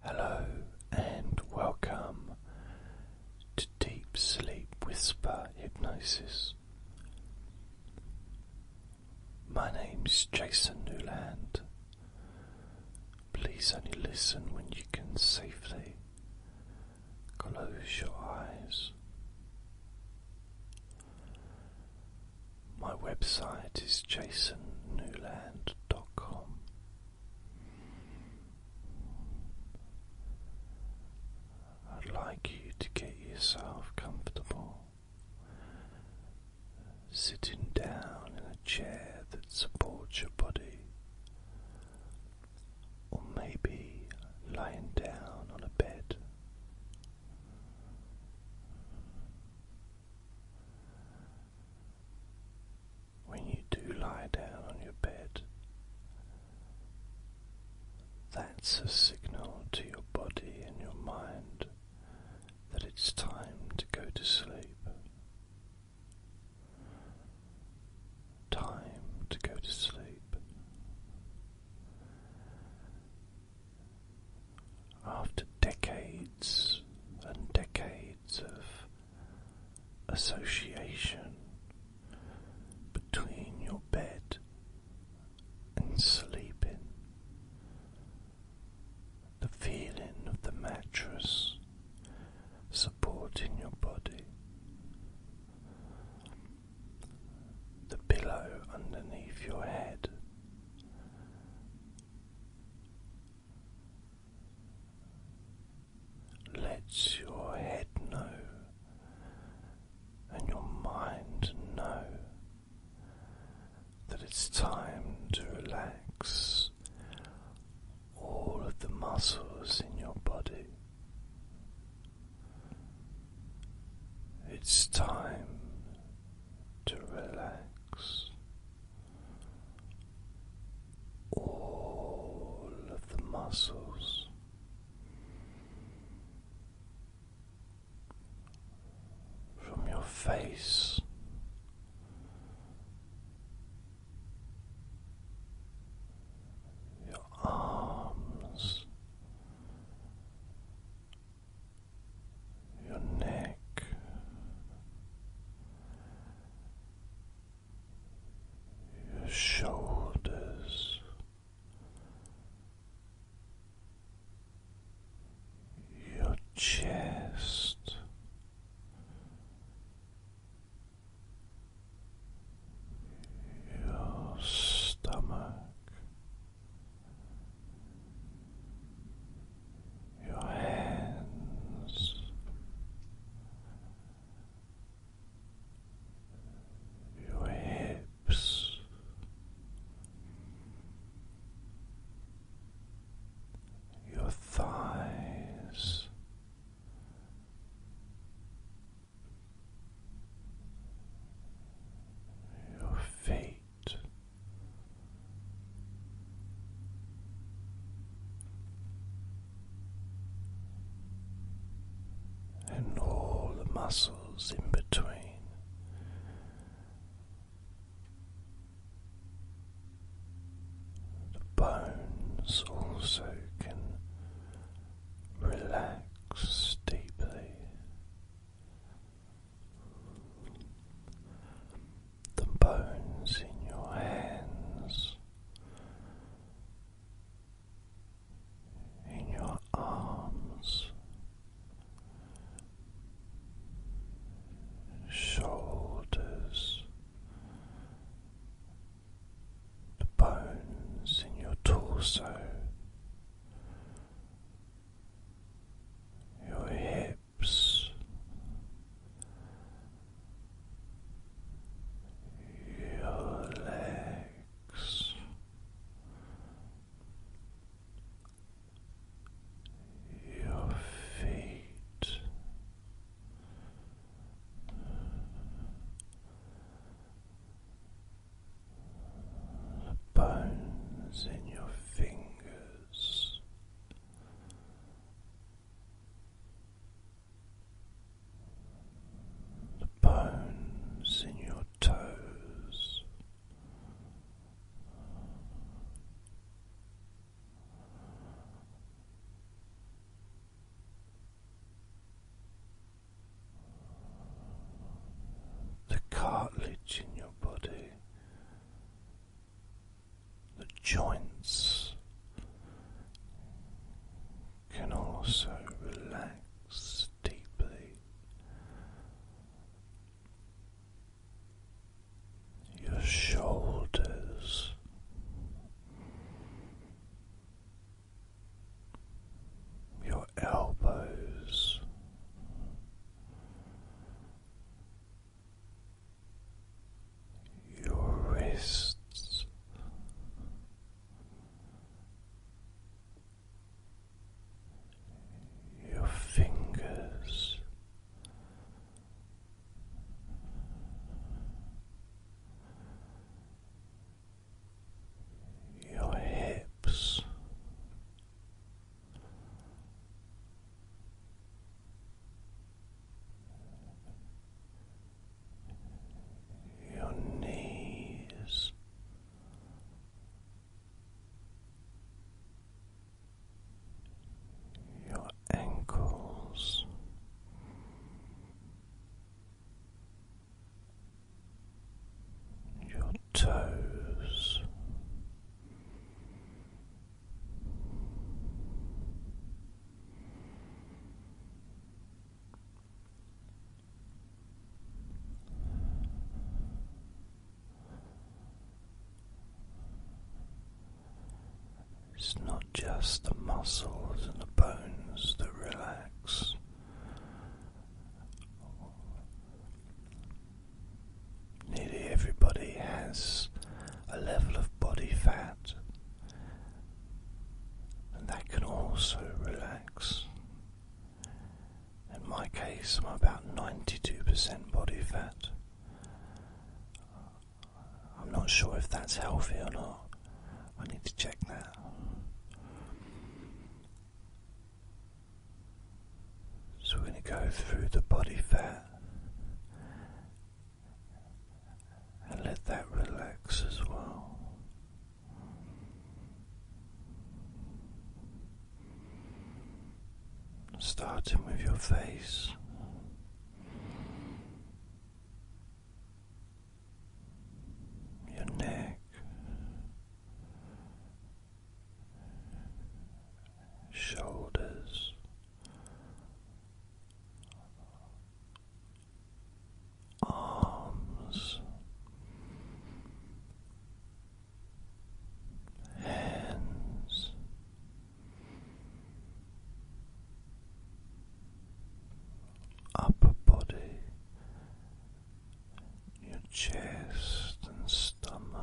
Hello and welcome to Deep Sleep Whisper Hypnosis. My name is Jason Newland. Please only listen when you can safely close your eyes. My website is jasonnewland.com. I'd like you to get yourself comfortable sitting down in a chair that supports your body, or maybe lying down on a bed. When you do lie down on your bed, that's a signal to your body and your mind that it's time to go to sleep. Time to go to sleep after decades and decades of association between your bed and sleeping. The feeling of the mattress supporting your body, the pillow underneath your head, let your head know and your mind know that it's time to relax all of the muscles in your body. It's time to relax all of the muscles from your face. Your arms your neck, your shoulders, your chest. Your stomach, your hands, your hips, your thighs. Your feet, and all the muscles in between. The bones also can relax deeply the bones in your hands, in your arms, shoulders, the bones in your torso. Your hips, hips. Your legs, your feet, the bones in your fingers the bones in your toes. The cartilage in your body, the joints can also relax deeply. Your shoulders. Your elbows, your wrists. Your fingers, your hips, your knees. Your ankles, your toes. It's not just the muscles and the bones that relax. Nearly everybody has a level of body fat, and that can also relax. In my case, I'm about 92% body fat. I'm not sure if that's healthy or not. I need to check that. So we're going to go through the body fat and let that relax as well. Starting with your face. Your neck, shoulders. Arms, hands, upper body, your chest and stomach,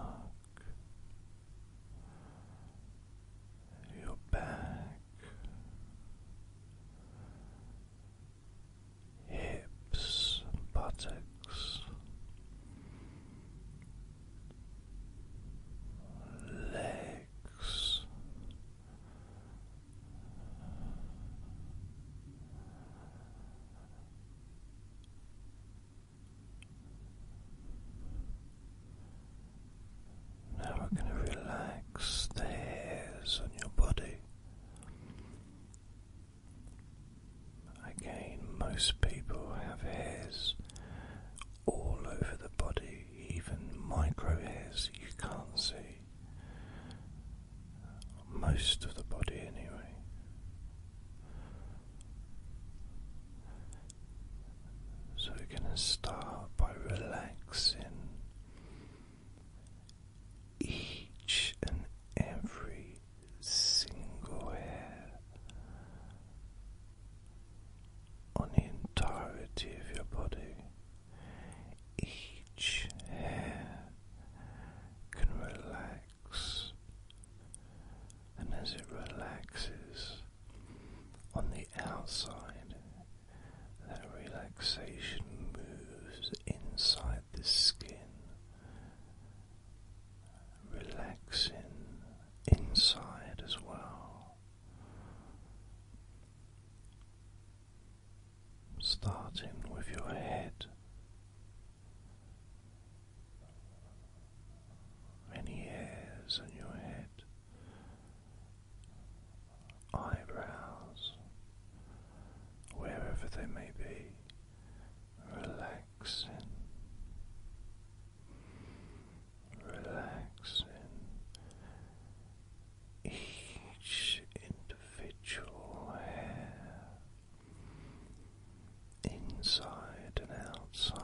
your back, hips, buttocks, legs. Now we're going to relax the hairs on your body. Again, most people have hairs all over the body, even micro hairs you can't see. Most of the body, anyway. So, we're going to start by relaxing each and every single hair on the entirety of your body. Each hair can relax and as it relaxes on the outside, that relaxation moves inside the skin, relaxing inside as well. Starting with your head, any hairs on your head, eyebrows, wherever they may be, relaxing, relaxing. Each individual hair inside and outside.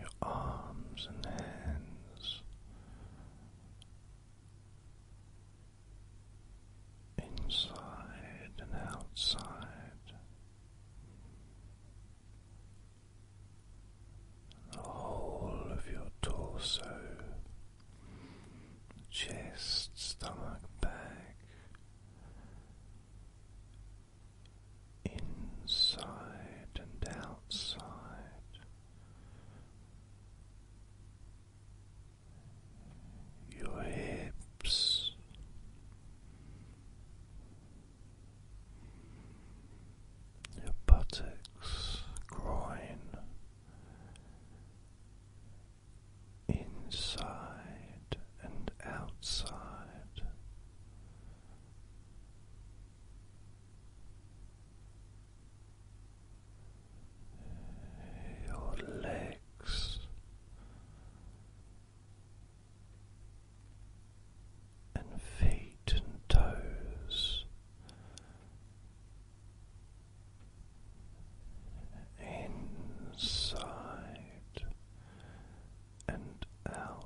Your arms and hands inside and outside, the whole of your torso, chest, stomach, back, inside and outside. Your hips, your buttocks, groin, inside and outside. Your legs, and feet and toes. Inside and outside.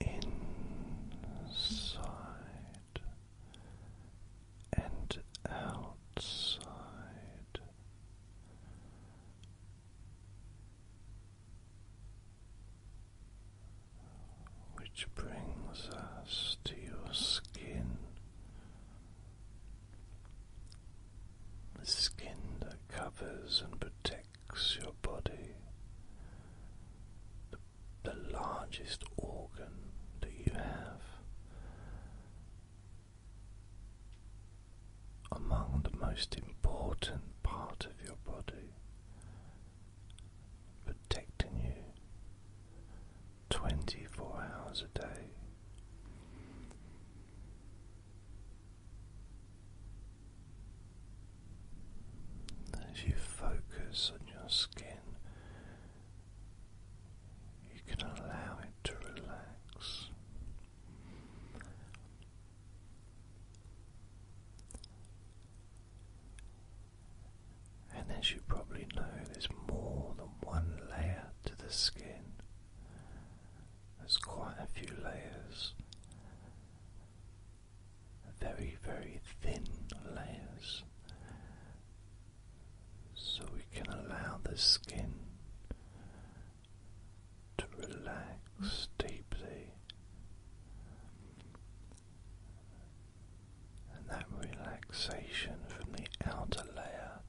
Inside and outside. Which brings us to your skin, skin that covers and protects your body, the largest organ that you have, among the most important part of your body, protecting you 24 hours a day. As you focus on your skin you can allow it to relax. And as you probably know, there's more than one layer to the skin. There's quite a few layers, very, very thin layers so we can allow the skin to relax deeply, and that relaxation from the outer layer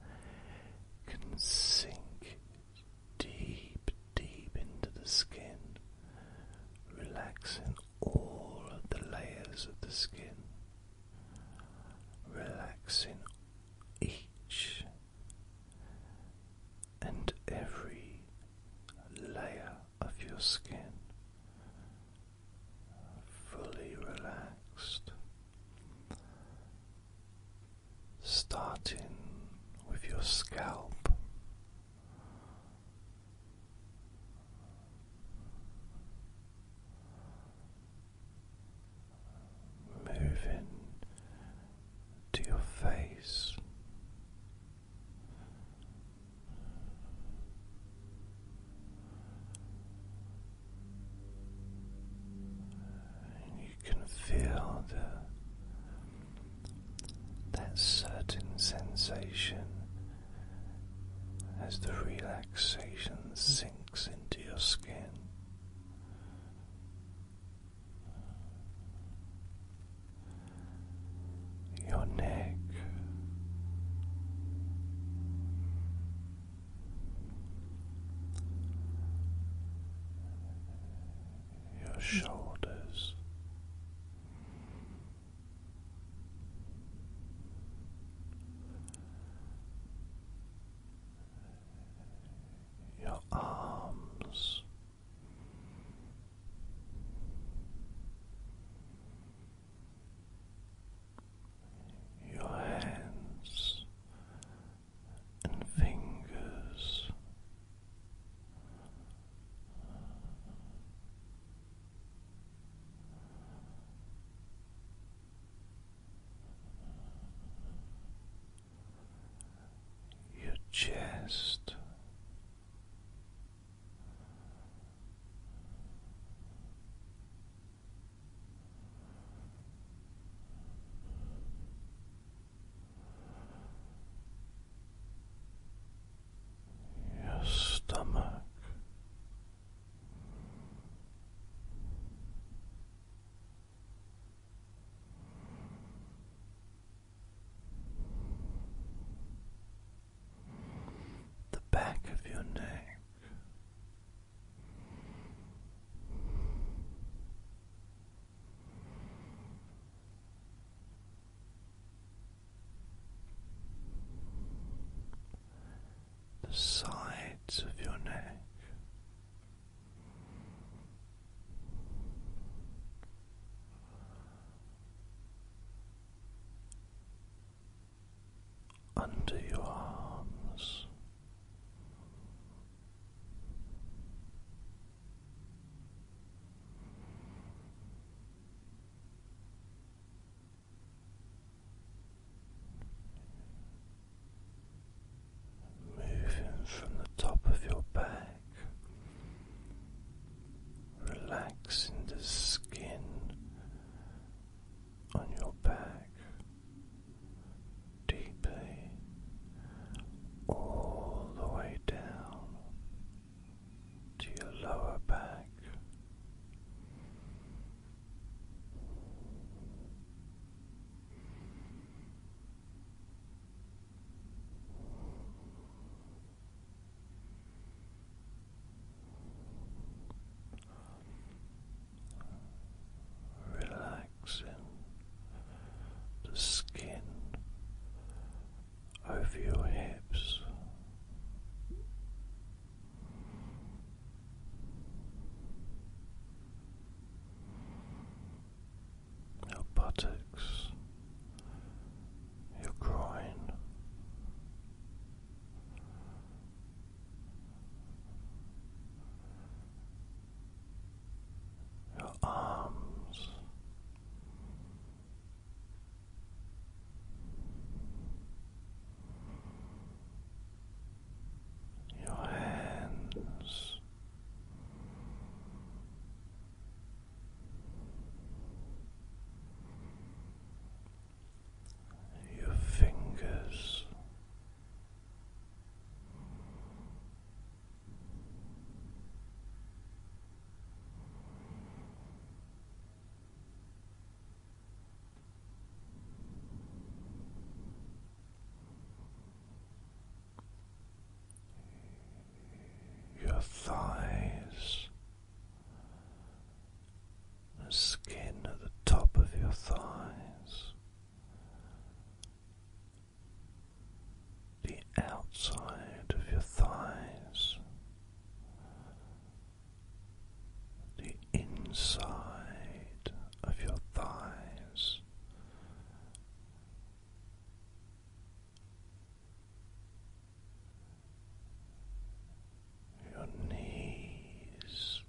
can sink deep, deep into the skin, relaxing all of the layers of the skin relaxing each and every layer of your skin, fully relaxed, starting with your scalp moving to your face. And you can feel that certain sensation as the relaxation sinks mm into your skin. Your neck, your shoulders, your arms. Your hands and fingers, your chest. Your stomach, the back of your neck the sides of your neck. Under your arms, Moving from the top of your back, relaxing the skin on your back deeply all the way down to your lower back. Relaxing the skin over your hips your buttocks, your groin. Your arms, your hands. Your fingers, your thighs, the skin at the top of your thighs, the outside of your thighs, the inside of your thighs. Your knees,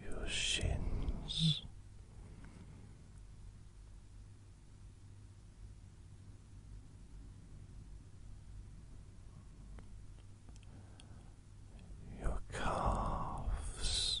your shins. Your calves,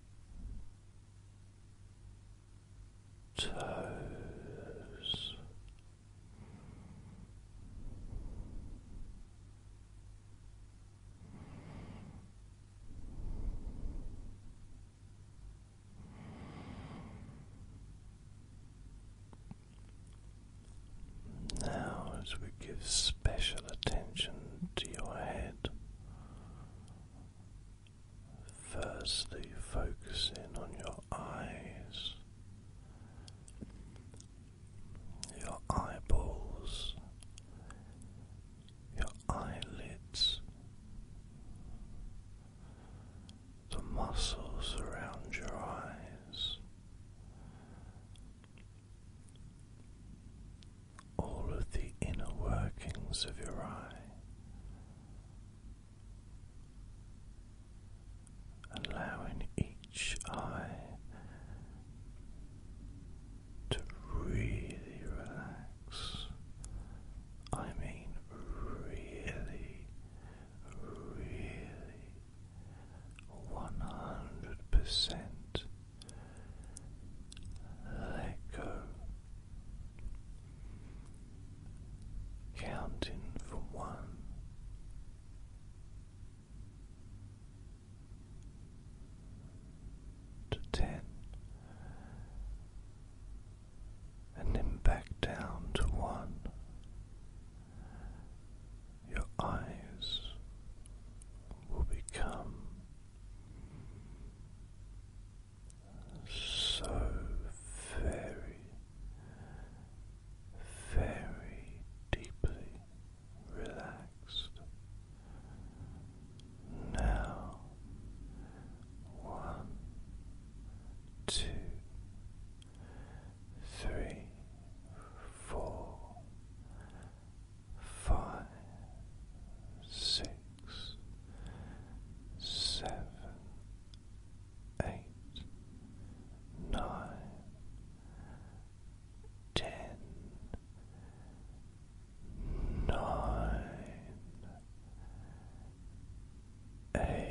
toes. Now, as we give special attention to your head. Firstly, focusing on your eyes, your eyeballs, your eyelids, the muscles around your eyes all of the inner workings of your eye, allowing each eye to really relax. I mean, really, really. One hundred percent let go. Counting from one to ten, and then back down to one. Your eyes will become so very, very deeply relaxed. Now, one, two, three, four five, six, seven, eight, nine, ten, nine, eight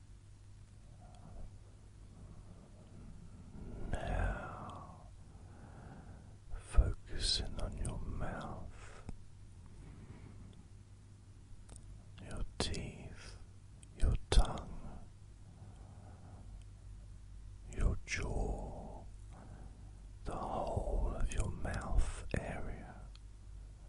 Now, focusing on your mouth, your teeth, your tongue, your jaw, the whole of your mouth area.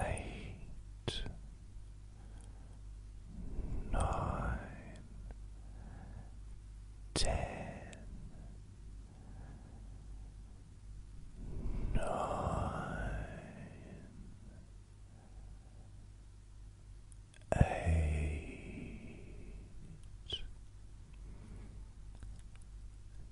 eight, nine, ten, nine, eight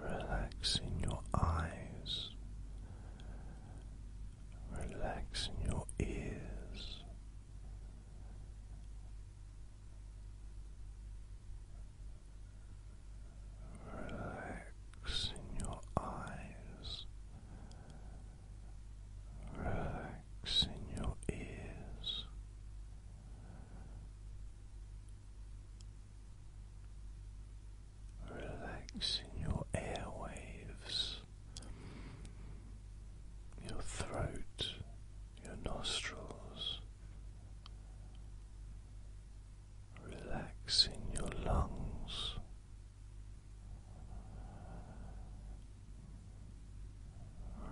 Relaxing your eyes, relaxing your ears, Relaxing your eyes, relaxing your ears, relaxing your airwaves, your throat your nostrils, relaxing your lungs.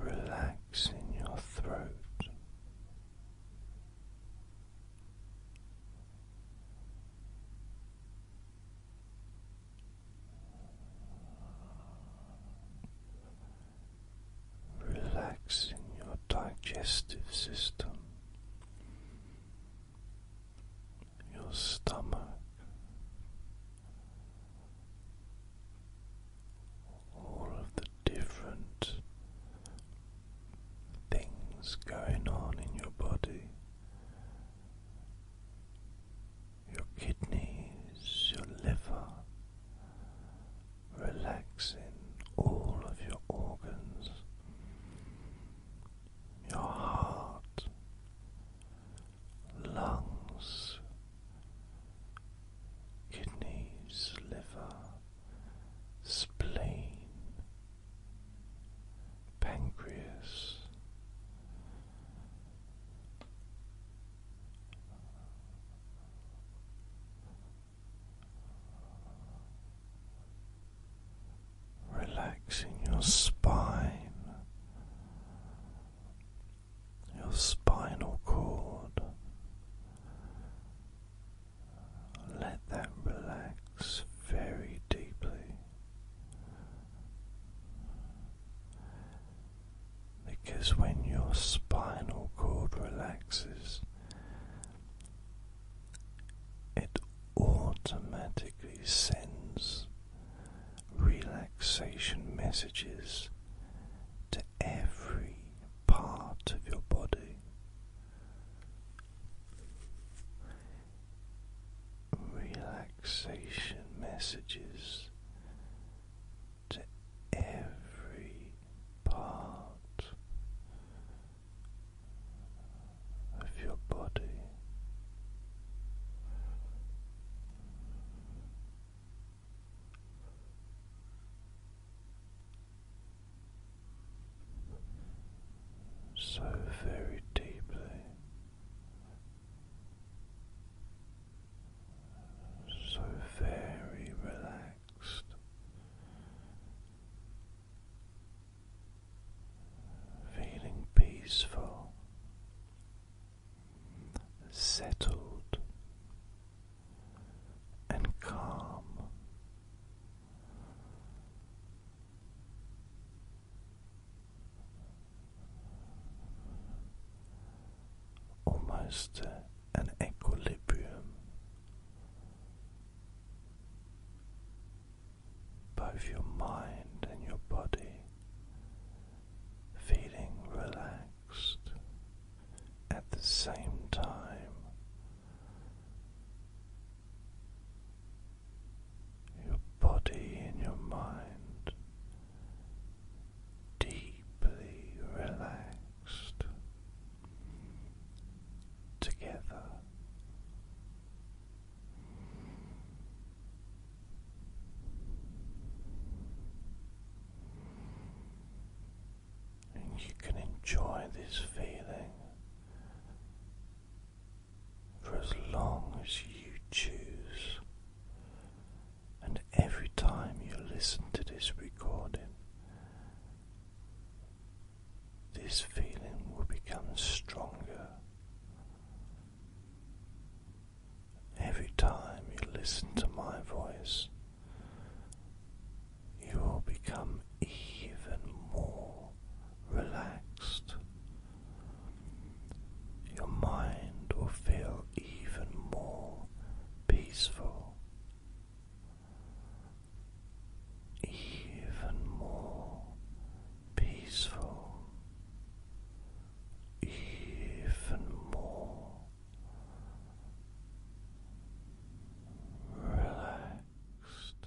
Relaxing your throat, relaxing your digestive system, your stomach, all of the different things going on in your body your kidneys, your liver, relaxing all of your organs, your heart, lungs, kidneys, liver, spleen. Pancreas, Relaxing your spine, your spinal cord. Let that relax very deeply because when your spinal cord relaxes, it automatically sends relaxation messages to every part of your body. Relaxation messages to every part of your body. So very deeply so very relaxed, feeling peaceful, settled, and calm almost an equilibrium. Both your mind and your body feeling relaxed at the same time, your body and your mind deeply relaxed together. And you can enjoy this feeling for as long as you choose. And every time you listen to this recording, this feeling will become stronger. Every time you listen to my voice, you will become even more relaxed. Your mind will feel even more peaceful, even more peaceful, even more relaxed.